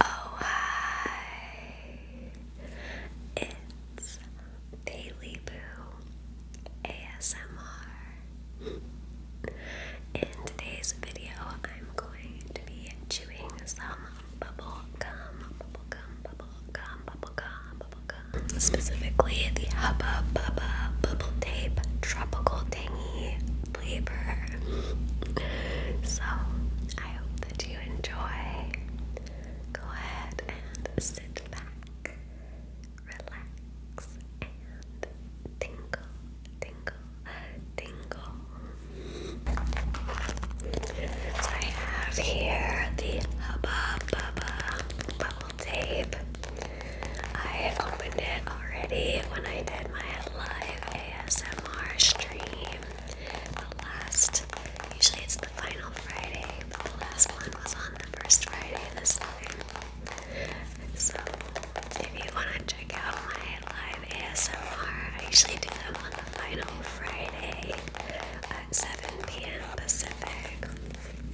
Oh, hi! It's Daily Boo ASMR. In today's video, I'm going to be chewing some bubble gum, bubble gum, bubble gum, bubble gum, bubble gum. Specifically, the Hubba Bubba Bubble Tape Tropical Tangy labor. So I hope that you enjoy. Go ahead and sit back, relax, and tingle, tingle, tingle. So I have here the Hubba Bubba bubble tape. I opened it already when I did my live ASMR stream. The last, usually it's the final Friday, but the last one was on the first Friday this time. So if you want to check out my live ASMR, I usually do them on the final Friday at 7 p.m. Pacific.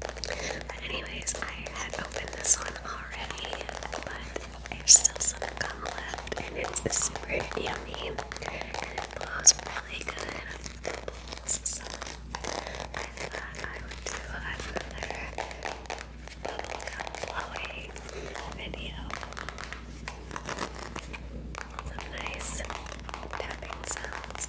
But anyways, I had opened this one already, but there's still some gum left, and it's super yummy, and it blows really good. It blows, so I thought I would do another bubblegum blowing video. Some nice tapping sounds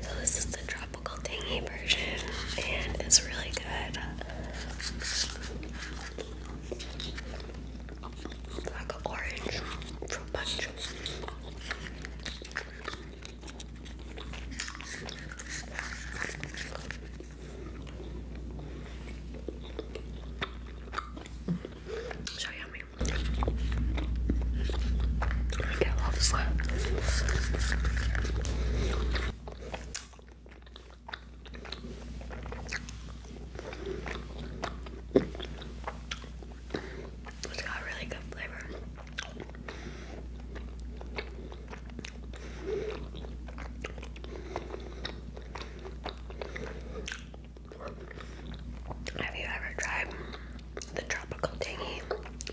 So this is the tropical tangy version and it's really good. orange fruit punch. So yummy. I get a lot of slap. It's got a really good flavor. Have you ever tried the tropical tangy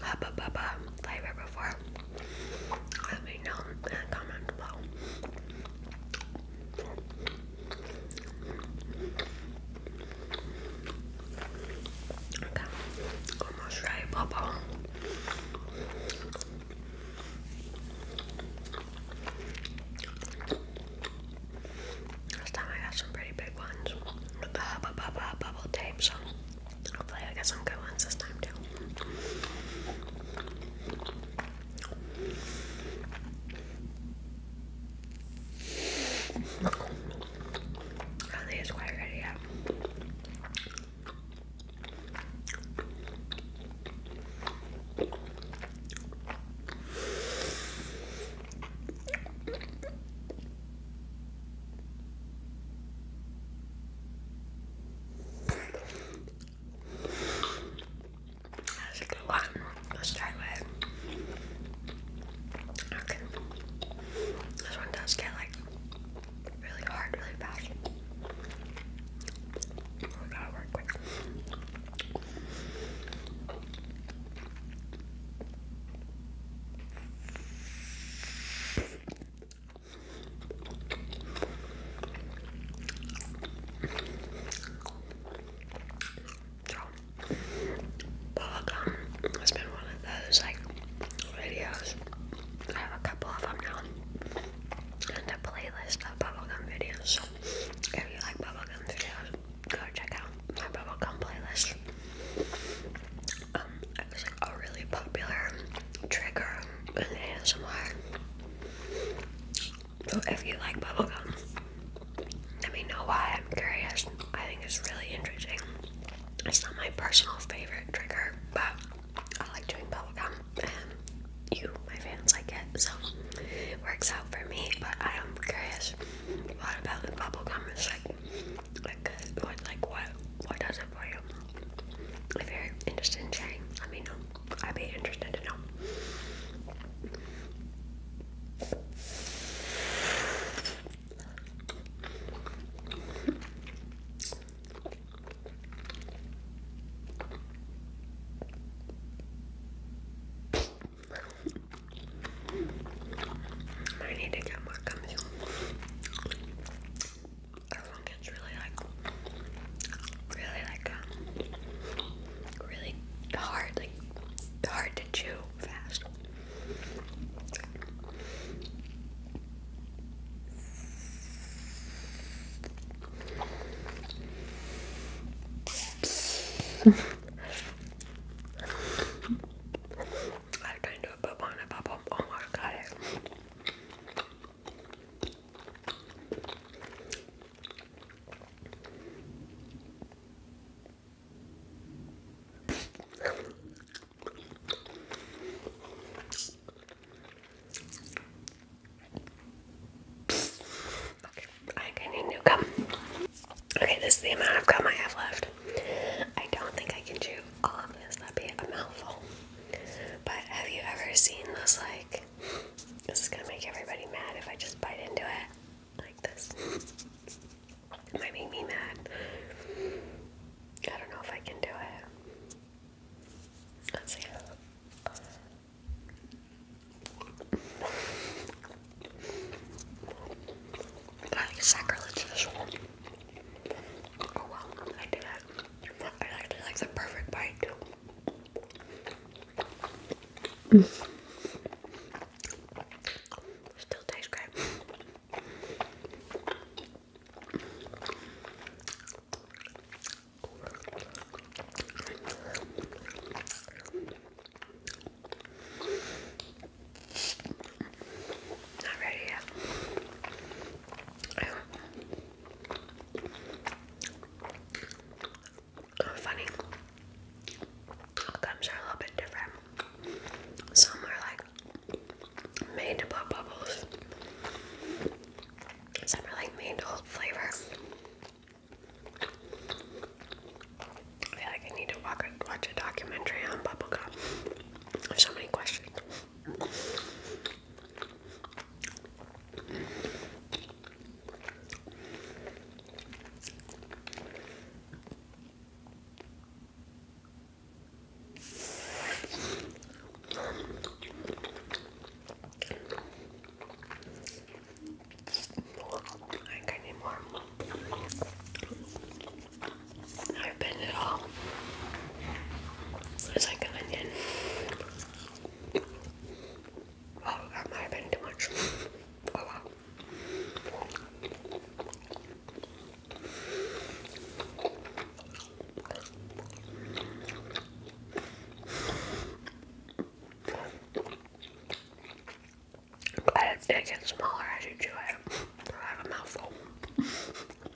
hubba bubba flavor before? Let me know in the comments below. Okay. Almost right, Papa. Last time I got some pretty big ones with the hubba bubba bubble tape, so hopefully I get some good ones this time too. I think it's quite ready yet. That's a good one. Let's try it. Okay. This one does get like really hard, really fast. We gotta work quick. So, bubblegum has been one of those like videos. I have a couple of them now, and a playlist of bubblegum videos. if you like bubblegum videos, go check out my bubblegum playlist. Um, it was like a really popular trigger in ASMR. So if you like bubblegum, let me know why. I'm curious. I think it's really interesting. It's not my personal favorite trigger, but I like chewing bubblegum and you, my fans, like it. So it works out for me, but I am curious what about the bubblegum is like, like, what, like what, what does it for you? If you're interested in sharing, let me know. I'd be interested to know. I need to get more gummies everyone gets really like, really like, um, really hard, like hard to chew fast. I turned into a bubble in a bubble. Oh my god. Okay, I need new gum. Okay, this is the amount of gum I have left. I don't think I can chew all of this, that'd be a mouthful. But have you ever seen those like this is gonna make everybody mad if I just bite into it like this. It might make me mad. I don't know if I can do it. Let's see. That is sacrilegious. Oh well, I did it. I actually like the perfect bite too. Still tastes great. Not ready yet. Oh, funny. Gums are a little bit different. Some are like made to blow bubbles. Some are like made to hold flavor. I feel like I need to watch a documentary on bubblegum. I have so many questions. I think I need more. I've been it all. It's like an onion. Oh, that might have been too much. Oh, but it gets smaller as you chew it. I have a mouthful.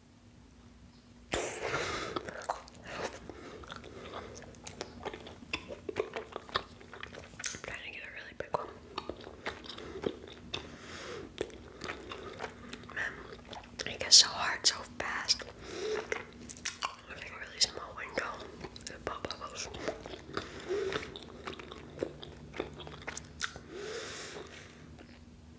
I'm trying to get a really big one. it gets so hard so fast. There's really small window. pop bubbles.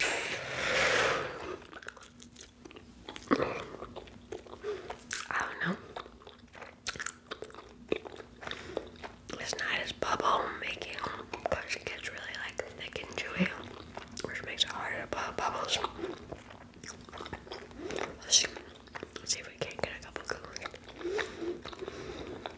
I don't know. It's not as bubble making because it gets really like thick and chewy, which makes it harder to pop bubbles. Let's see. if we can get a couple good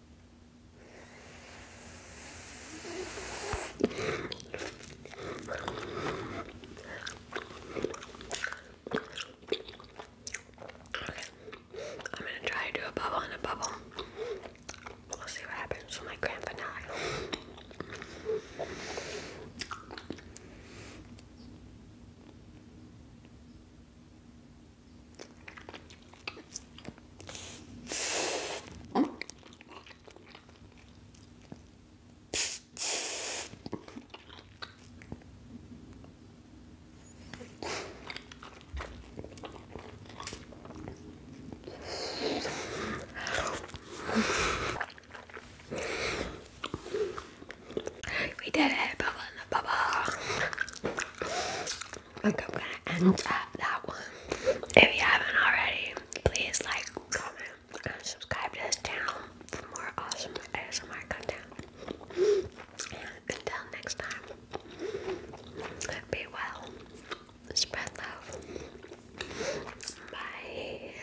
I'm gonna try to do a bubble and a bubble. We'll see what happens my grand we did it, bubble in I'm gonna end that one. If you haven't already, please like, comment, and subscribe to this channel for more awesome ASMR content. Until next time, be well, spread love. Bye.